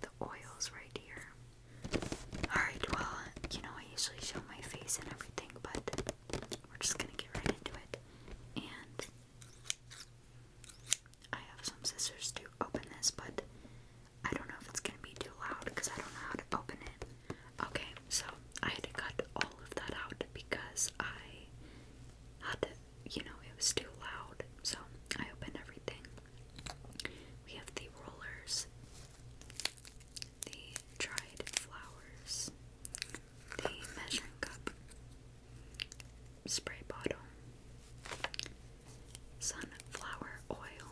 the oils right here. Alright, well, you know, I usually show my face and everything, but we're just gonna get right into it. And I have some scissors to open this, but I don't know if it's gonna be too loud because I don't know how to open it. Okay, so I had to cut all of that out because I had to, you know, it was too loud, so I opened everything. We have the rollers, the dried flowers, the measuring cup, spray bottle, sunflower oil.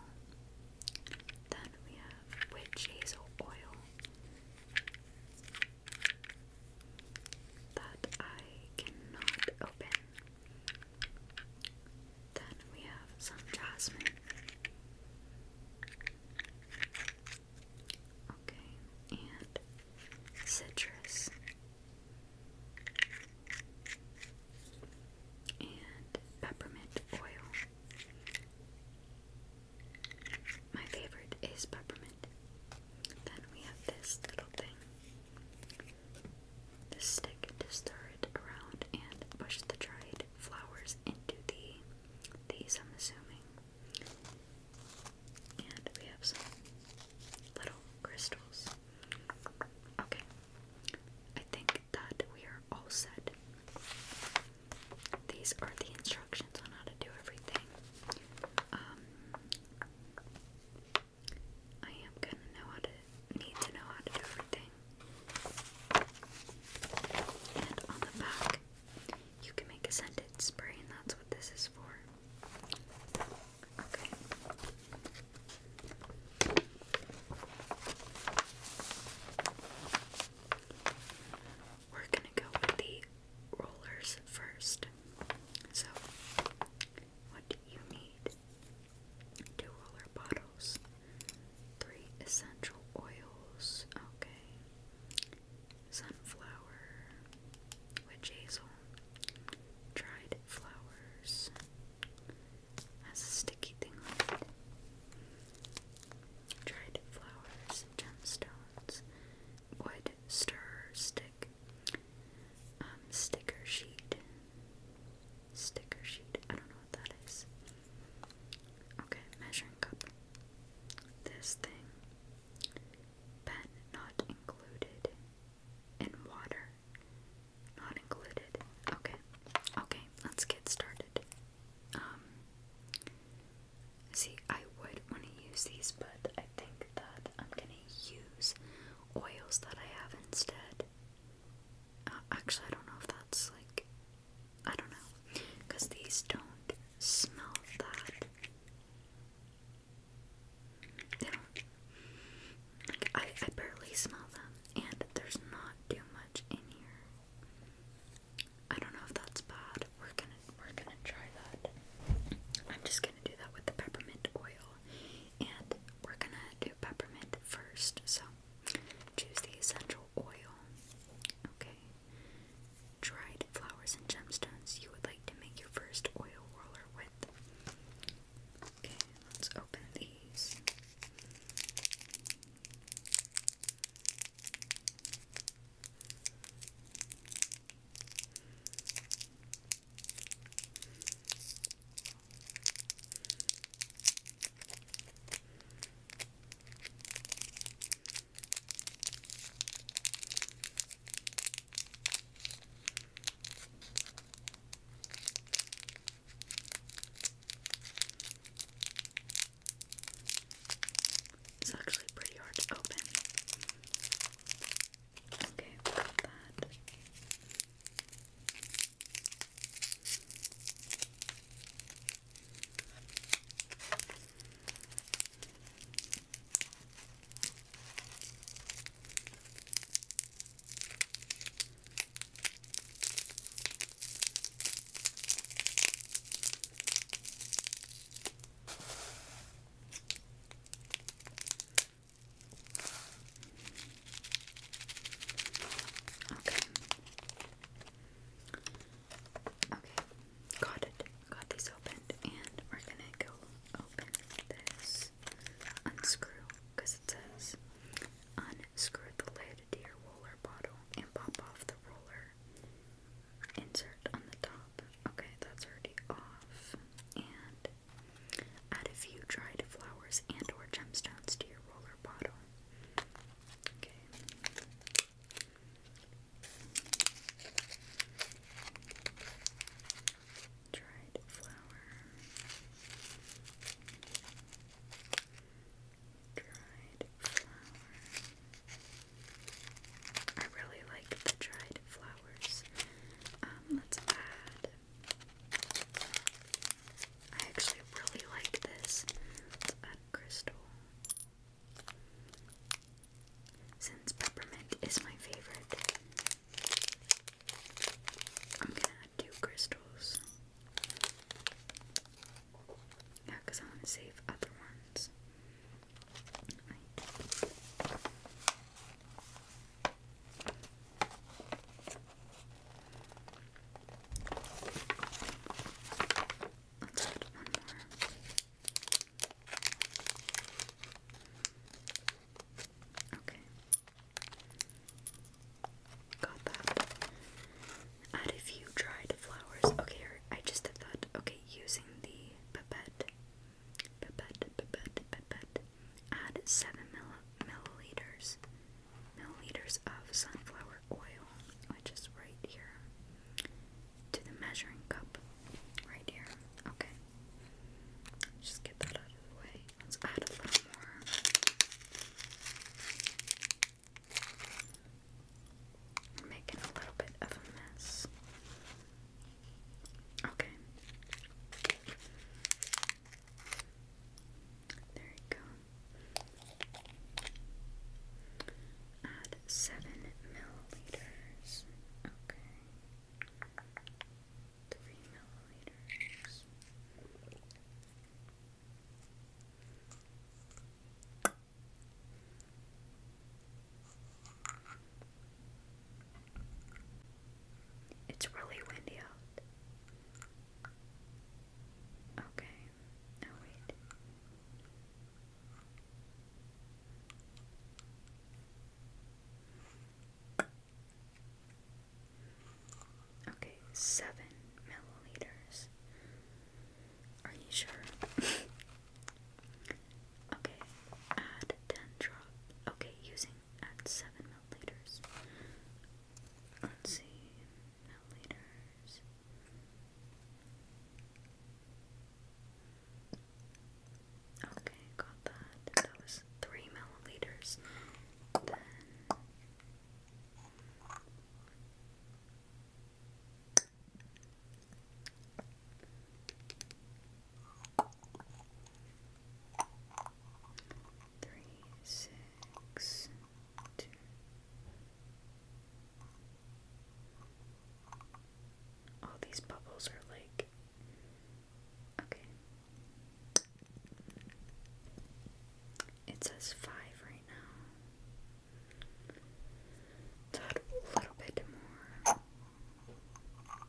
Then we have witch hazel oil that I cannot open. Then we have some jasmine. Okay, and citrus. And peppermint oil. My favorite is peppermint. Then we have this little thing. The stick to stir it around and push the dried flowers into the these I'm assuming. And we have some little crystals. Okay. I think that we are all set. These are the instructions on how to do everything. Um, I am gonna need to know how to do everything. And on the back, you can make a scented spray, and that's what this is for. Okay. We're gonna go with the rollers first. So what do you need? Two bottles, three essential oils, okay, sunflower, witch hazel, dried flowers, has a sticky thing on it, dried flowers, gemstones, wood, stir, stick, um, sticker sheet. Sticker sheet. I don't know what that is. Okay, measuring cup. This thing. Pen not included. And water not included. Okay. Okay, let's get started. Um see I would want to use these but I think that I'm gonna use oils that I have instead. Uh, actually, I don't know if that's like. I don't know. Because these don't smell that. They don't. I, I barely smell them. And there's not too much in here. I don't know if that's bad. We're gonna, we're gonna try that. I'm just gonna do that with the peppermint oil. And we're gonna do peppermint first, so choose the essential oil. Okay. Dried flowers and gemstones you would like to make your first oil roller with. Okay, let's open these. It's actually pretty hard to open. Okay, got that. Okay. Okay. Got it. Got these opened, and we're gonna go open this unscrew because it says unscrew the lid to your roller bottle and pop off the roller insert on the top. Okay, that's already off. And Add a few dried flowers and or gemstones to your roller bottle. Okay. Dried flower. Dried flower. I really like the dried flowers. Um, let's add I actually really like this. let crystal. Since peppermint is my favorite, I'm gonna add crystals. Yeah, because I want to save other ones add Okay. a few dried flowers. Okay, I just thought. Okay, using the pipette Add 7 milliliters, milliliters of sunflower oil, which is right here, to the measuring cup. Right here. Okay. Just get that out of the way. Let's add a little more. We're making a little bit of a mess. Okay. There you go. Add seven milliliters. Okay. Three milliliters. It's really windy out. Okay. Oh, wait. Okay, seven milliliters. Are you sure? Okay, add 10 drop. Okay, using at 7 milliliters. Let's see, milliliters. Okay, got that. That was 3 milliliters three, six, two. All these bubbles are like okay. It says five right now. a little bit more.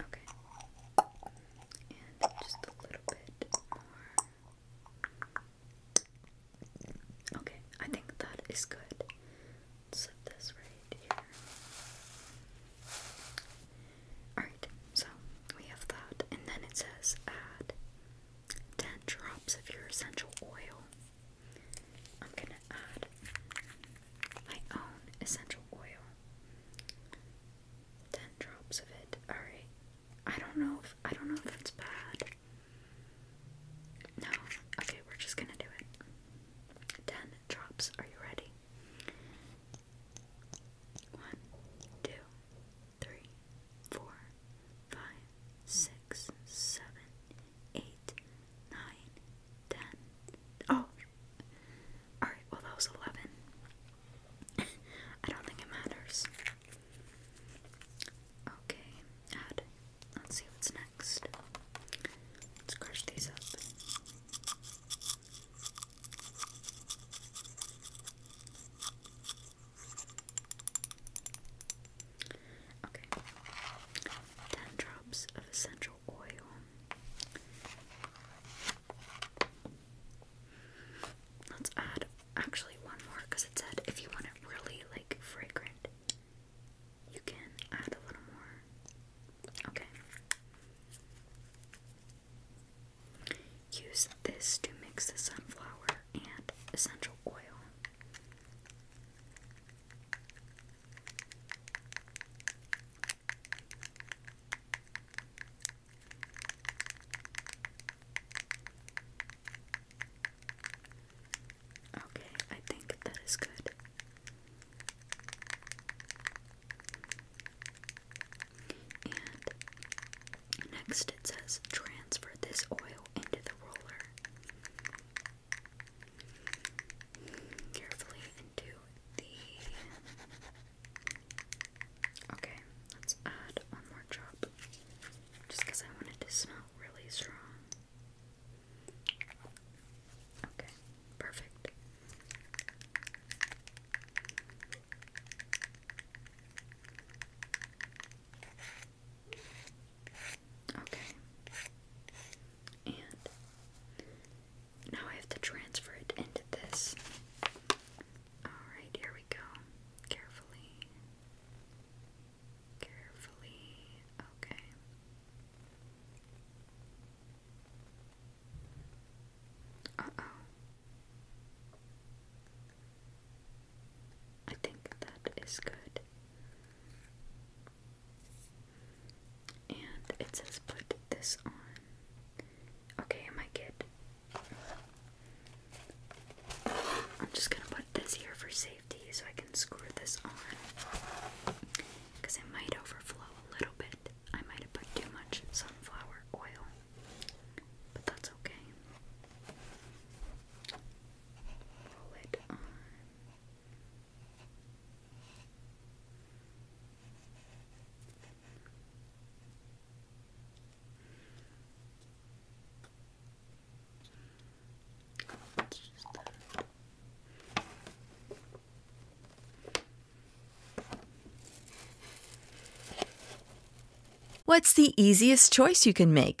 Okay. And just a little bit more. Okay, I think that is good. let this right here. Alright, so we have that. And then it says add 10 drops of your essential oil. I'm gonna add my own essential oil. 10 drops of it. Alright. I don't know I don't know if it's bad. No. Okay, we're just gonna do it. 10 drops. Are you ready? One, two, three, four, five, six, seven, eight, nine, ten. Oh, all right. Well, that was eleven. I don't think it matters. Okay, add. Let's see what's next. Let's crush these up. Okay. Ten drops of essential oil. Let's add actually one more because it said if you want it really like fragrant, you can add a little more. Okay. Use this to mix the sunflower and essential oil. Okay, I think that is good. And next it says transfer this oil into the roller carefully into the. Okay, let's add one more drop just because I want to smell really strong. Okay, perfect. Okay. And now I have to transfer it into this. Alright, here we go. Carefully. Carefully. Okay. Uh oh. I think that is good. And it says put this on. Okay, I might I'm just gonna put this here for safety so I can screw this on. Because it might overflow a little bit. I might have put too much sunflower oil. But that's okay. Roll it on. What's the easiest choice you can make?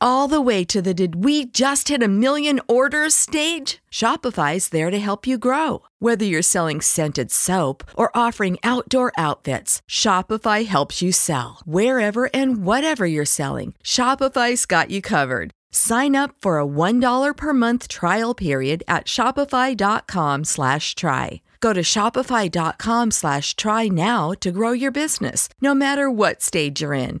all the way to the did we just hit a million orders stage? Shopify is there to help you grow. Whether you're selling scented soap or offering outdoor outfits, Shopify helps you sell. Wherever and whatever you're selling, Shopify's got you covered. Sign up for a $1 per month trial period at shopify.com slash try. Go to shopify.com slash try now to grow your business, no matter what stage you're in.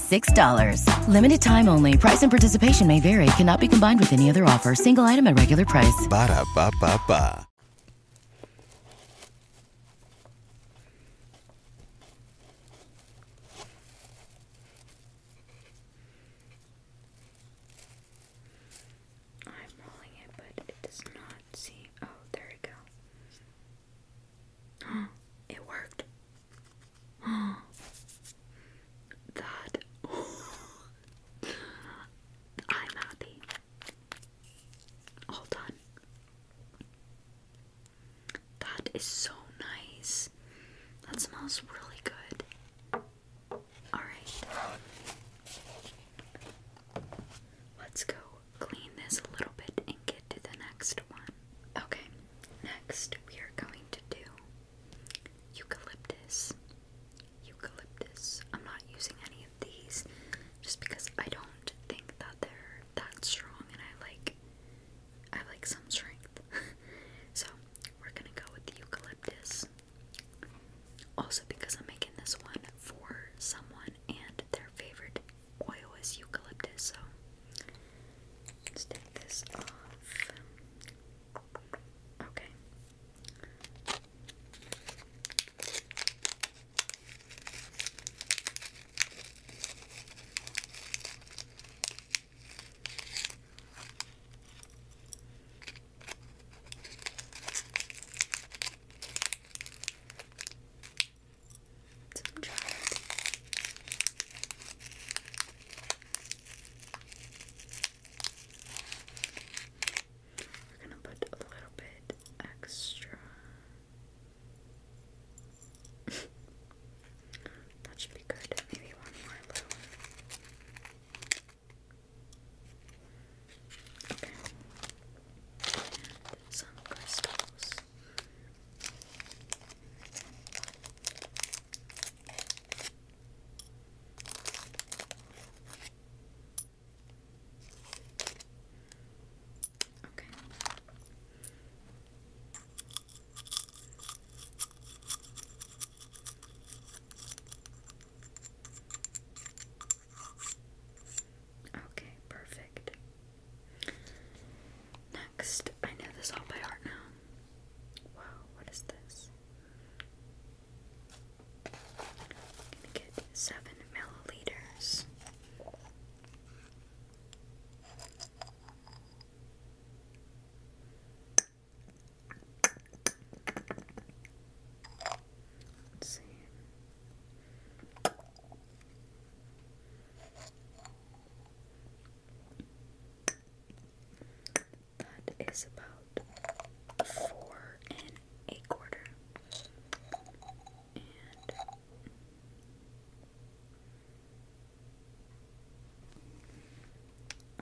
$6. Limited time only. Price and participation may vary. Cannot be combined with any other offer. Single item at regular price. Ba da ba ba ba. I'm rolling it, but it does not seem. Oh, there we go. it worked. that I'm happy. All done. That is so nice. That smells really good. Alright. Let's go clean this a little bit and get to the next one. Okay, Next, we are going to do eucalyptus. Eucalyptus. I'm not using any of these just because I don't think that they're that strong and I like I like some strength. so we're gonna go with the eucalyptus. Also because I'm making this one for someone and their favorite oil is eucalyptus, so let's take this off. Okay. We're gonna put a little bit extra. that should be good. Maybe one more little. Okay. Some crystals. Okay. Okay, perfect. Next, I know this all by heart now. Wow, what is this? gonna get seven milliliters. Let's see. That is about four and a quarter. And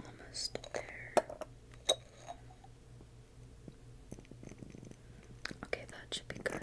almost there. Okay, that should be good.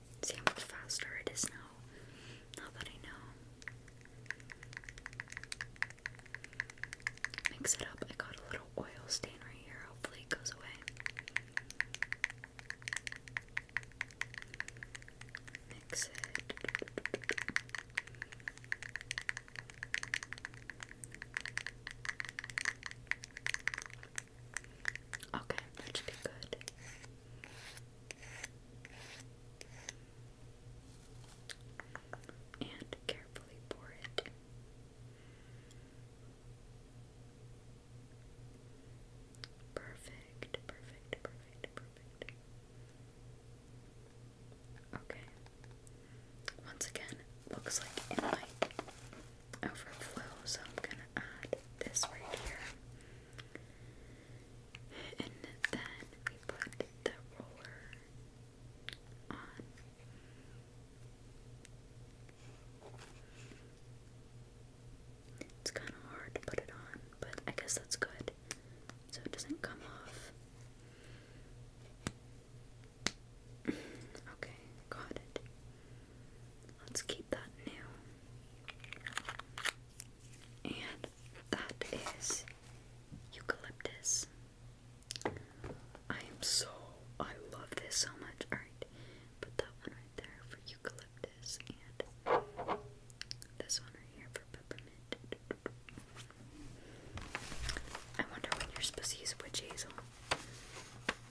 See how much faster it is now. Now that I know. Mix it up. I got a little oil stain right here. Hopefully it goes away. Mix it. Okay, that should be good. And carefully pour it. Perfect, perfect, perfect, perfect. Okay. Once again, looks like it might overflow, so I'm gonna add this right here. And then we put the roller on. It's kind of hard to put it on, but I guess that's good so it doesn't come off. okay, got it. Let's keep that new. And that is eucalyptus. I am so I love this so much. Alright, put that one right there for eucalyptus and this one right here for peppermint. I wonder when you're supposed to use witch hazel.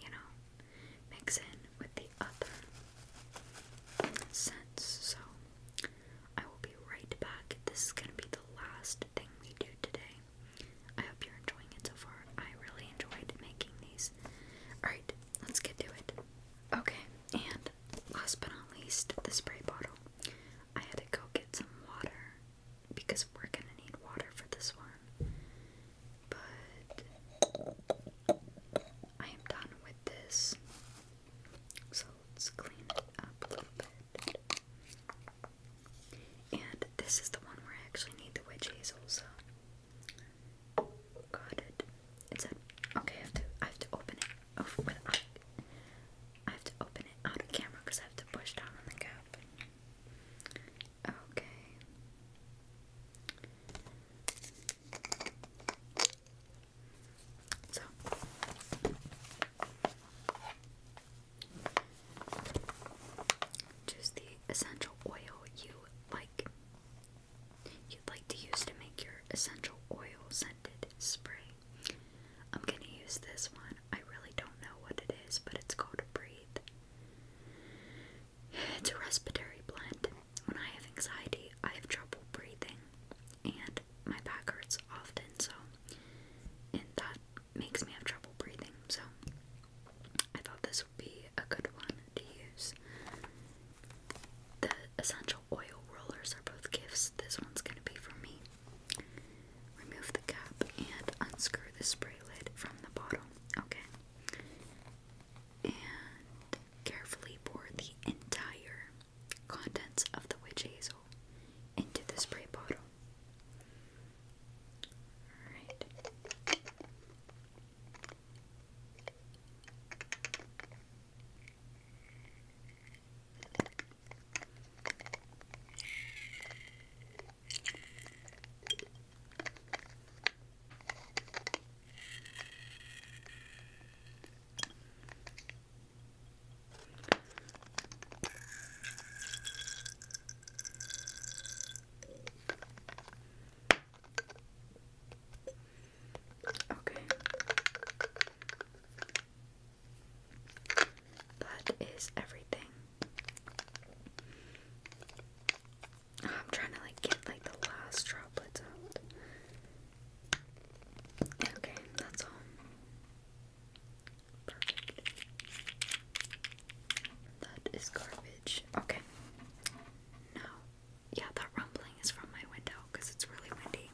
you know, mix in with the other scents. So I will be right back. This is going to be the last thing we do today. I hope you're enjoying it so far. I really enjoyed making these. Alright, let's get to it. Okay, and last but not least, the spray bottle. I had to go get some water because we're gonna need water for this one. But I am done with this. So let's clean it up a little bit. And this is the one where I actually need the witch hazel, got it. It's okay, I have to I have to open it off with I have to open it out of camera because I have to push down on the cap. Okay. So choose the essential oil you like you'd like to use to make your essential oil scented spray. I'm gonna use this one. I really don't know what it is, but it's called Breathe. It's a respiratory blend. When I have anxiety, I have trouble breathing, and my back hurts often, so, and that makes me have trouble breathing, so I thought this would be a good one to use. The essential oil rollers are both gifts. This one's gonna be for me. Remove the cap and unscrew the spray lid from the bottle, okay? And carefully pour the entire contents of the witch hazel into the spray bottle. Alright. Okay. That is everything. I'm trying to like get like the last droplets out. Okay, that's all. Perfect. That is garbage. Okay. No. Yeah, that rumbling is from my window because it's really windy.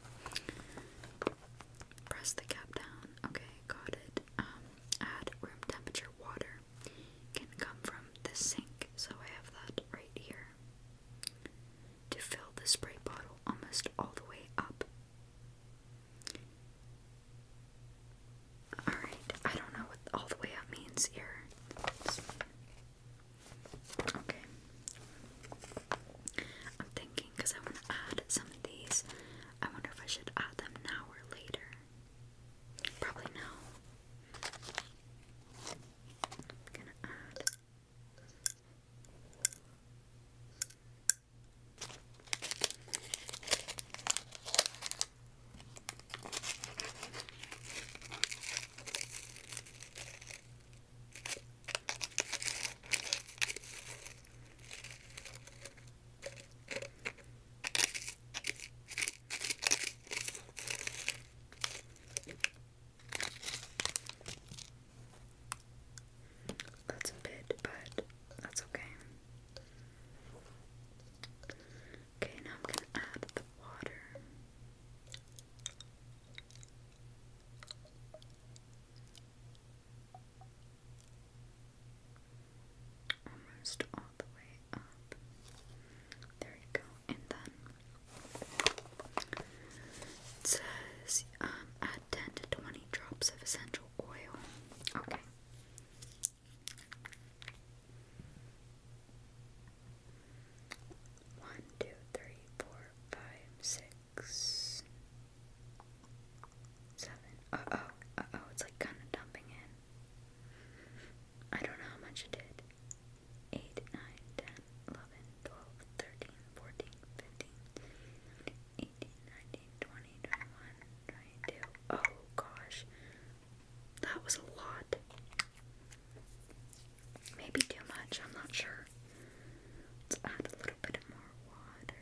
Press the cap down. Okay, got it. Um, add room temperature water can come from the sink, so I have that right here. To fill the spray bottle almost all the way up. Alright, I don't know what all the way up means here. Okay. I'm thinking because I want to add some of these. I wonder if I should add them now or later. Probably no. I'm gonna add. That's a bit, but that's okay. Okay, now I'm going to add the water almost all the way up. There you go. And then says um, add 10 to 20 drops of essential oil. Okay. One, two, three, four, five, six, Seven. Uh oh. Uh oh. It's like kind of dumping in. I don't know how much it did. 8, 9, 10, 11, 12, 13, 14, 15, 18, 19, 20, 21, 22. Oh gosh. That was a lot. Maybe too much, I'm not sure. Let's add a little bit more water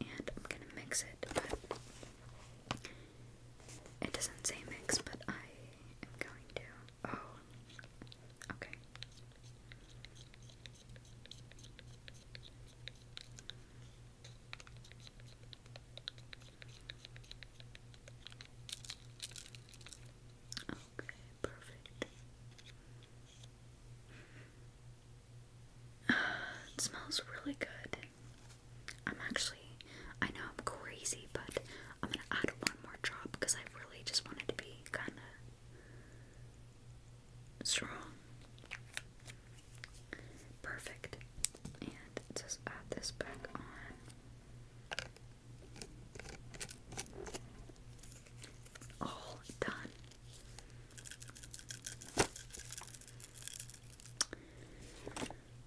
and I'm gonna mix it, but it doesn't say mix, but I am going to. Oh, okay. Okay, perfect. it smells really good. I'm actually, I know I'm crazy, but I'm gonna add one more drop because I really just wanted to be kind of strong. Perfect. And just add this back on. All done.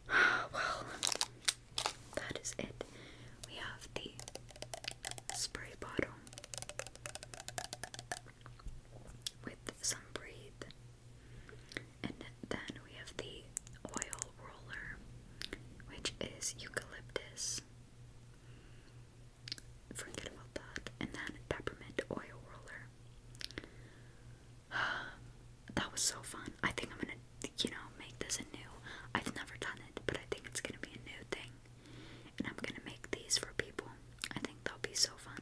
well, that is it. We have the spray bottle with some breathe, and then we have the oil roller, which is eucalyptus forget about that. And then peppermint oil roller. that was so fun. I think I'm gonna, you know, make this a new. I've never done it, but I think it's gonna be a new thing. And I'm gonna make these for people. I think they'll be so fun.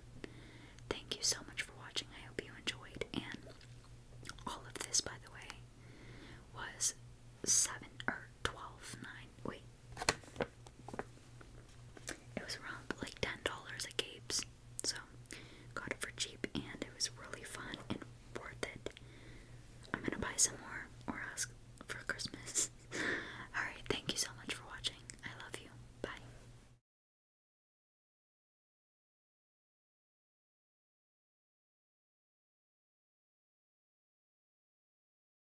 Thank you so much for watching. I hope you enjoyed. And all of this, by the way, was seven or twelve nine. Wait, it was around like ten dollars at Gabe's, so got it for cheap, and it was really fun and worth it. I'm gonna buy some more or ask for Christmas. All right, thank you so much for watching. I love you. Bye.